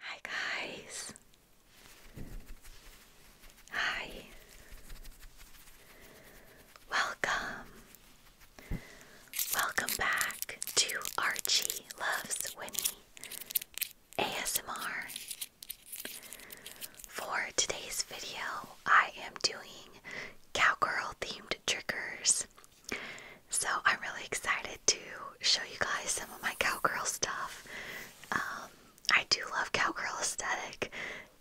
Hi guys. Hi. Welcome. Welcome back to Archie Loves Winnie ASMR. For today's video, I am doing cowgirl themed triggers. So I'm really excited to show you guys some of my cowgirl stuff. Um, I do love cowgirl aesthetic,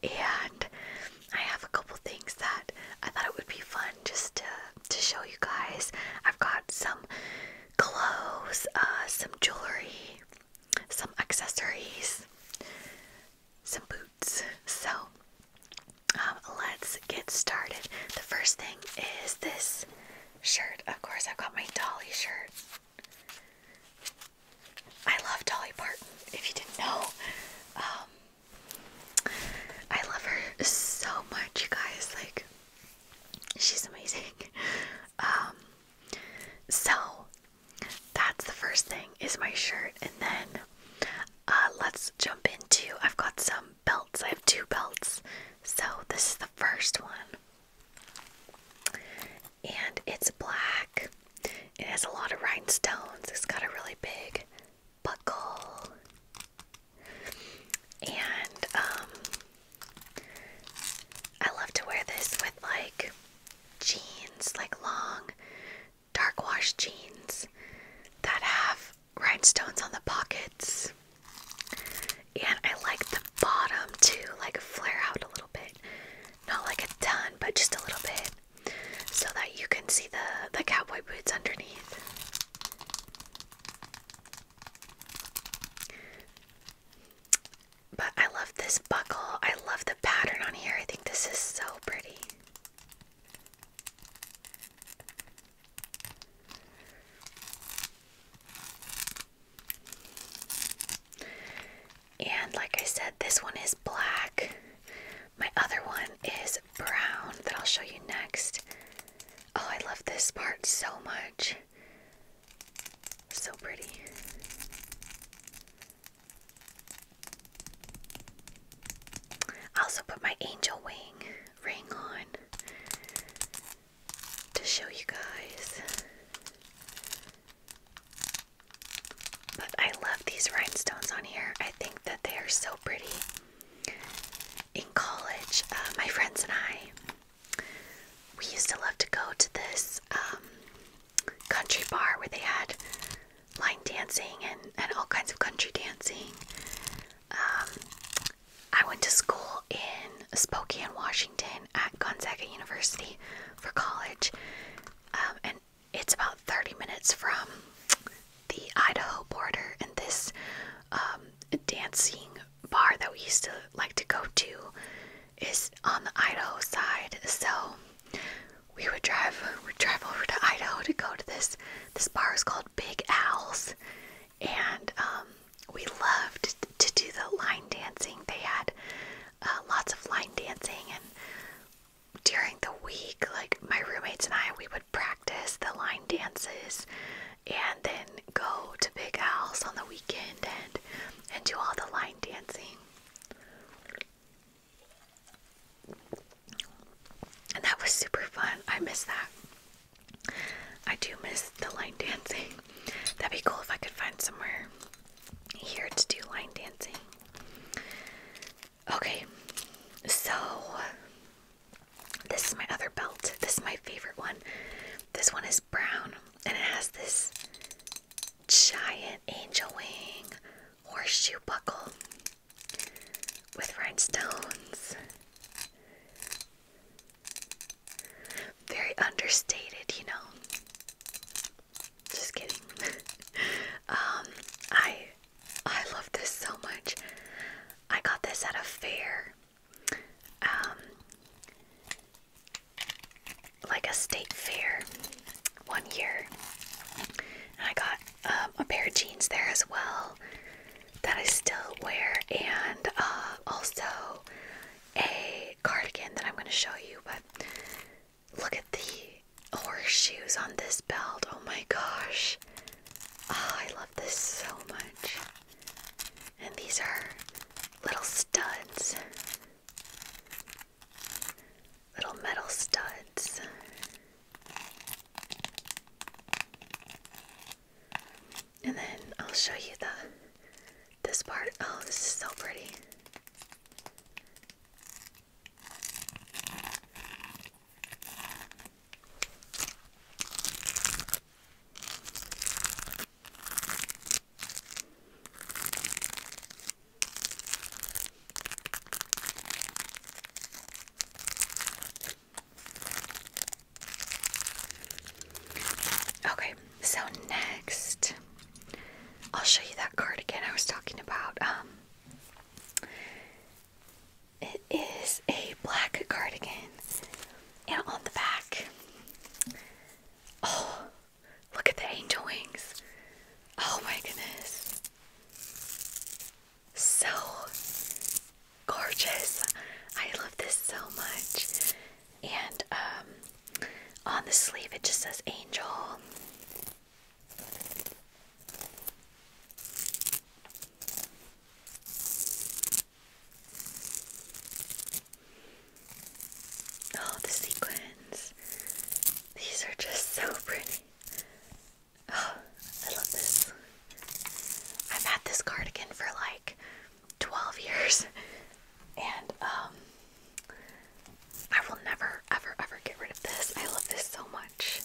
and I have a couple things that I thought it would be fun just to to show you guys. I've got some clothes, uh, some jewelry, some accessories, some boots. So um, let's get started. The first thing is this shirt. Of course, I've got my Dolly shirt. I love Dolly Parton, if you didn't know. Um, I love her so much, you guys. Like, she's amazing. Um, so, that's the first thing is my shirt. And then uh, let's jump into, I've got some belts. I have two belts. So this is the first one. And it's black. It has a lot of rhinestones. It's got a really big buckle. And um I love to wear this with like jeans, like long dark wash jeans that have rhinestones on the pockets. And I like the bottom to like flare out a little bit. Not like a ton, but just a little bit. So that you can see the, the cowboy boots underneath. But I love this buckle. I love the pattern on here. I think this is so pretty. And like I said, this one is black. My other one is brown that I'll show you next. Oh, I love this part so much. So pretty. I also put my angel wing ring on to show you guys. But I love these rhinestones on here. I think that they are so pretty. In college, uh, my friends and I, we used to love to go to this um, country bar where they had line dancing and, and all kinds of country dancing. Um, I went to school in Spokane, Washington at Gonzaga University for college. Um, and it's about 30 minutes from the Idaho border. And this um, dancing bar that we used to like to go to is on the Idaho side. So we would drive, we'd drive over to Idaho to go to this this bar is called Big Owls, and um, we loved to do the line dancing. They had uh, lots of line dancing, and during the week, like my roommates and I, we would practice the line dances, and then go to Big Owls on the weekend and and do all the line dancing. And that was super fun. I miss that. I do miss the line dancing. That'd be cool if I could find somewhere here to do line dancing. Okay, so this is my other belt. This is my favorite one. This one is brown and it has this giant angel wing horseshoe buckle with rhinestones. Very understated, you know. Just kidding. um, I I love this so much. I got this at a fair. Um like a state fair one year. And I got um, a pair of jeans there as well that I still wear, and uh, also a cardigan that I'm going to show you. But look at the horseshoes on this belt. Oh my gosh. Ah, I love this so much. And these are little studs, little metal studs. And then I'll show you the this part. Oh, this is so pretty. Okay, so next I'll show you that cardigan I was talking about. Um, it is a black cardigan and on the back Oh, look at the angel wings. Oh my goodness so gorgeous. I love this so much. And um, on the sleeve, it just says angel. Oh, the sequins. These are just so pretty. I love this. I've had this cardigan for like 12 years and um I will never ever ever get rid of this. I love this so much.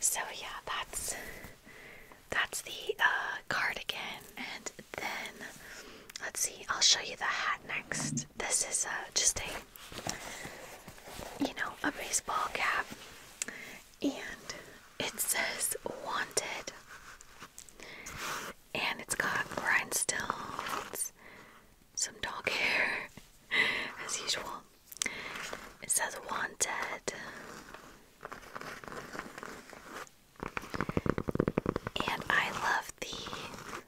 So yeah, that's that's the uh, cardigan, and then let's see. I'll show you the hat next. This is uh, just a, you know, a baseball cap, and it says "Wanted," and it's got rhinestones, some dog hair, as usual. It says "Wanted." And I love the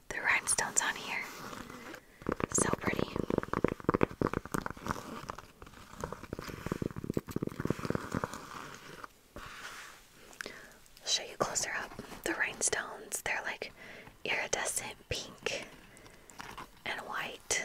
the rhinestones on here. So pretty. I'll show you closer up the rhinestones. They're like iridescent pink and white.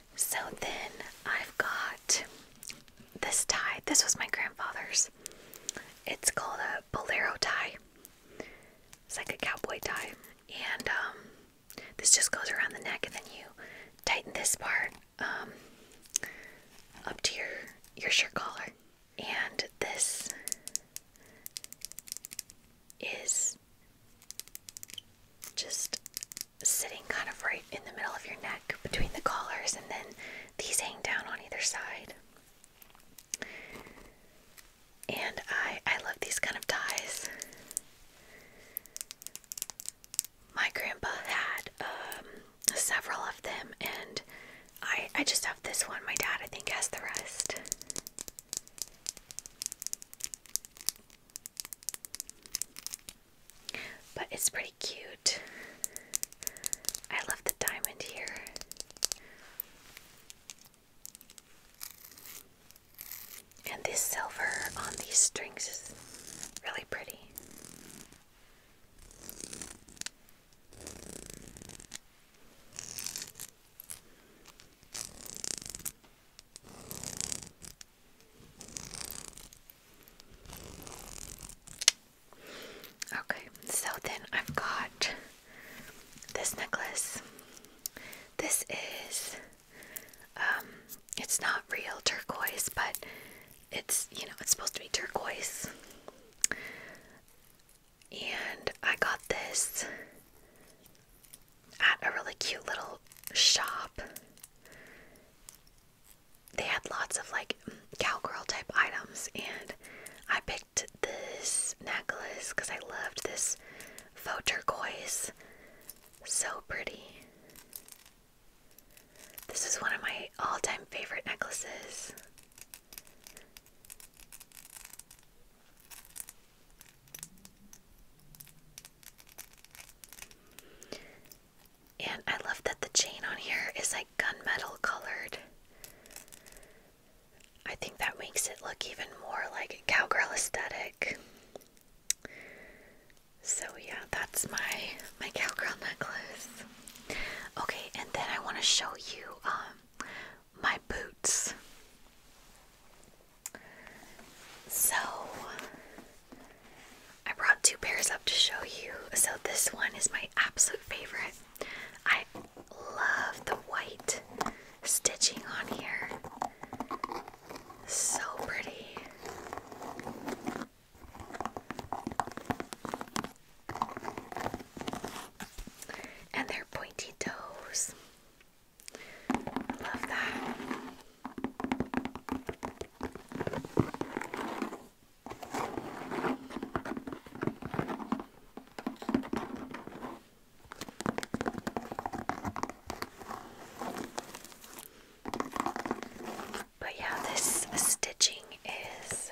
so then I've got this tie. This was my grandfather's. It's called a bolero tie. It's like a cowboy tie. And um, this just goes around the neck and then you tighten this part um, up to your, your shirt collar. And this is just sitting kind of right in the middle of your neck between the collars, and then these hang down on either side. And I I love these kind of ties. My grandpa had um, several of them, and I I just have this one. My dad I think has the rest. But it's pretty cute. I love the diamond here. And this silver on these strings is really pretty. Okay, so then I've got this necklace. This is, um, it's not real turquoise, but it's, you know, it's supposed to be turquoise. And I got this at a really cute little shop they had lots of like cowgirl type items, and I picked this necklace because I loved this faux turquoise. So pretty. This is one of my all time favorite necklaces. And I love that the chain on here is like gunmetal colored. I think that makes it look even more like cowgirl aesthetic. So yeah, that's my my cowgirl necklace. Okay, and then I want to show you um my boots. So I brought two pairs up to show you. So this one is my absolute favorite. I love the white stitching on here. So pretty. And their pointy toes. love that. But yeah, this stitching is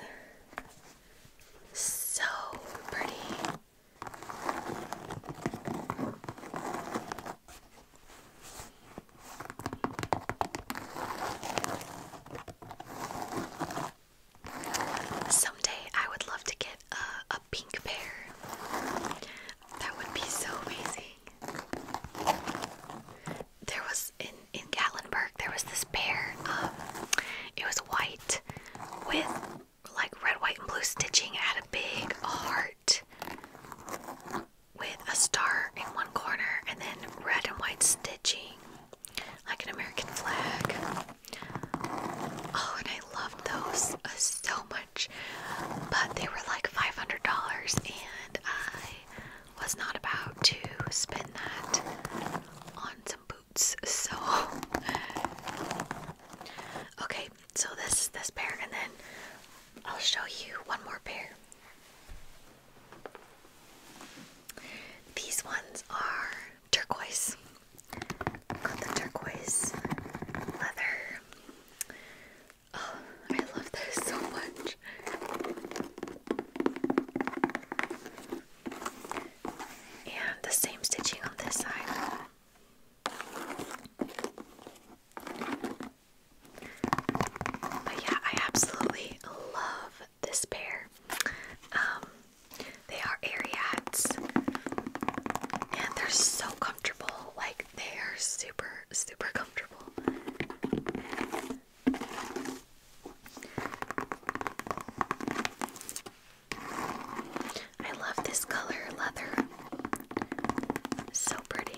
so pretty. Someday I would love to get a, a pink pair. That would be so amazing. There was in in Gatlinburg there was this pair. Um, it was white with like red, white, and blue stitching. It had a big heart with a star in one corner and then red and white stitching like an American flag. Oh, and I loved those uh, so much, but they were like $500 and I was not about to spend that on some boots. So Okay, so this is this pair and then I'll show you one more pair. These ones are turquoise. Got the turquoise leather. Oh, I love this so much. And the same stitching on this side. But yeah, I absolutely love this pair. Um, they are Ariats and they're so comfortable. Like they are super, super comfortable. I love this color leather. So pretty.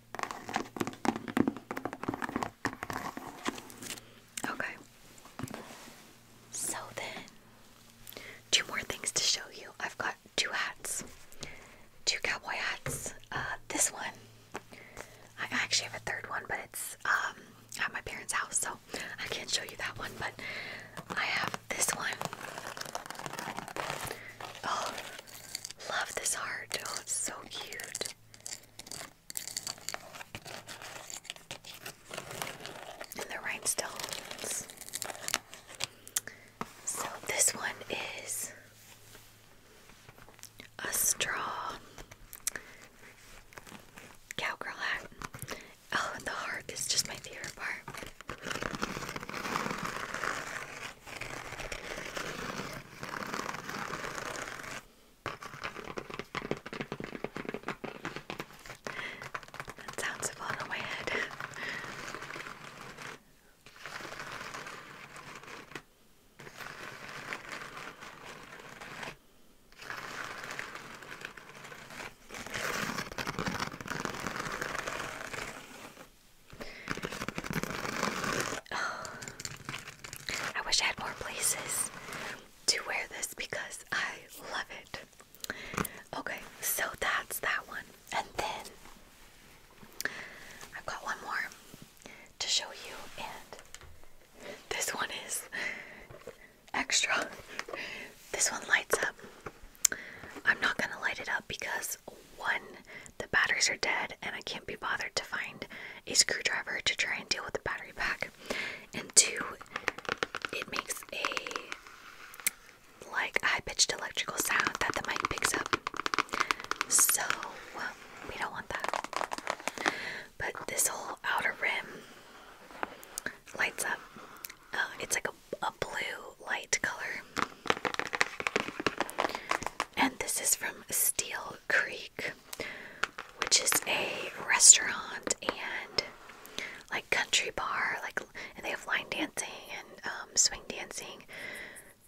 Okay. So then, two more things to show you. I've got two hats, two cowboy hats. Uh, this one, I actually have a third one, but it's um, at my parents' house, so I can't show you that one. But I have this one. Oh, Love this heart. Oh, it's so cute. And the rhinestones. So this one is a straw cowgirl hat. Oh, the harp is just my favorite part. That sounds fun in my head. Oh, I wish I had more places to wear this because I love it. Okay, so that's that one. And then I've got one more to show you, and this one is extra. This one lights up. I'm not gonna light it up because one, the batteries are dead and I can't be bothered to find a screwdriver to try and deal with the battery pack. And two, it makes a like high-pitched electrical sound that the mic picks up. So we don't want that. But this whole outer rim lights up. Uh, it's like a blue light color. And this is from Steel Creek, which is a restaurant and like country bar, like and they have line dancing and um, swing dancing,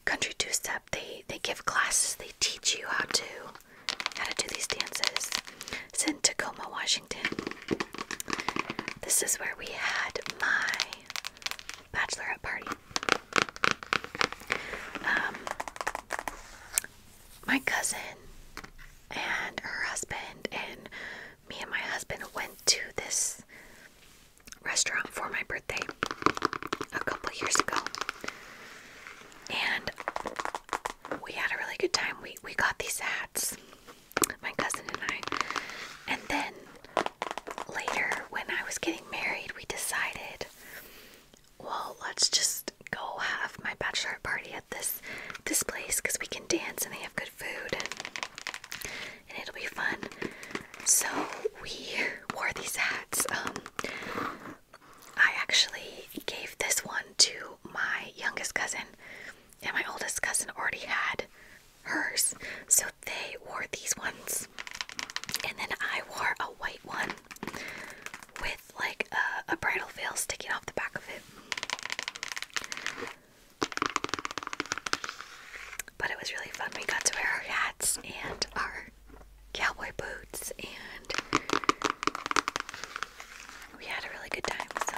country two-step. They they give classes. They teach you how to how to do these dances. It's in Tacoma, Washington. This is where we had my bachelorette party. Um, my cousin and her husband and me and my husband went to this restaurant for my birthday a couple years ago. And we had a really good time. We we got these hats, my cousin and I. And then later, when I was getting married, we decided, well, let's just go have my bachelorette party at this this place because we can dance and they have good food and, and it'll be fun. So we wore these hats. Um, I actually gave this one to my youngest cousin, and my oldest cousin already had hers. So they wore these ones. And then I wore a white one with like a, bridle veil sticking off the back of it. But it was really fun. We got to wear our hats and our cowboy boots, and we had a really good time. So,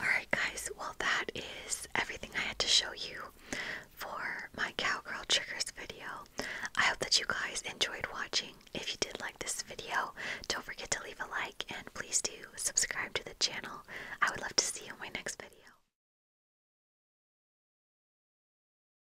Alright, guys, well, that is everything I had to show you for my Cowgirl Triggers video. I hope that you guys enjoyed watching. If you did like this video, don't forget to leave a like and please do subscribe to the channel. I would love to see you in my next video.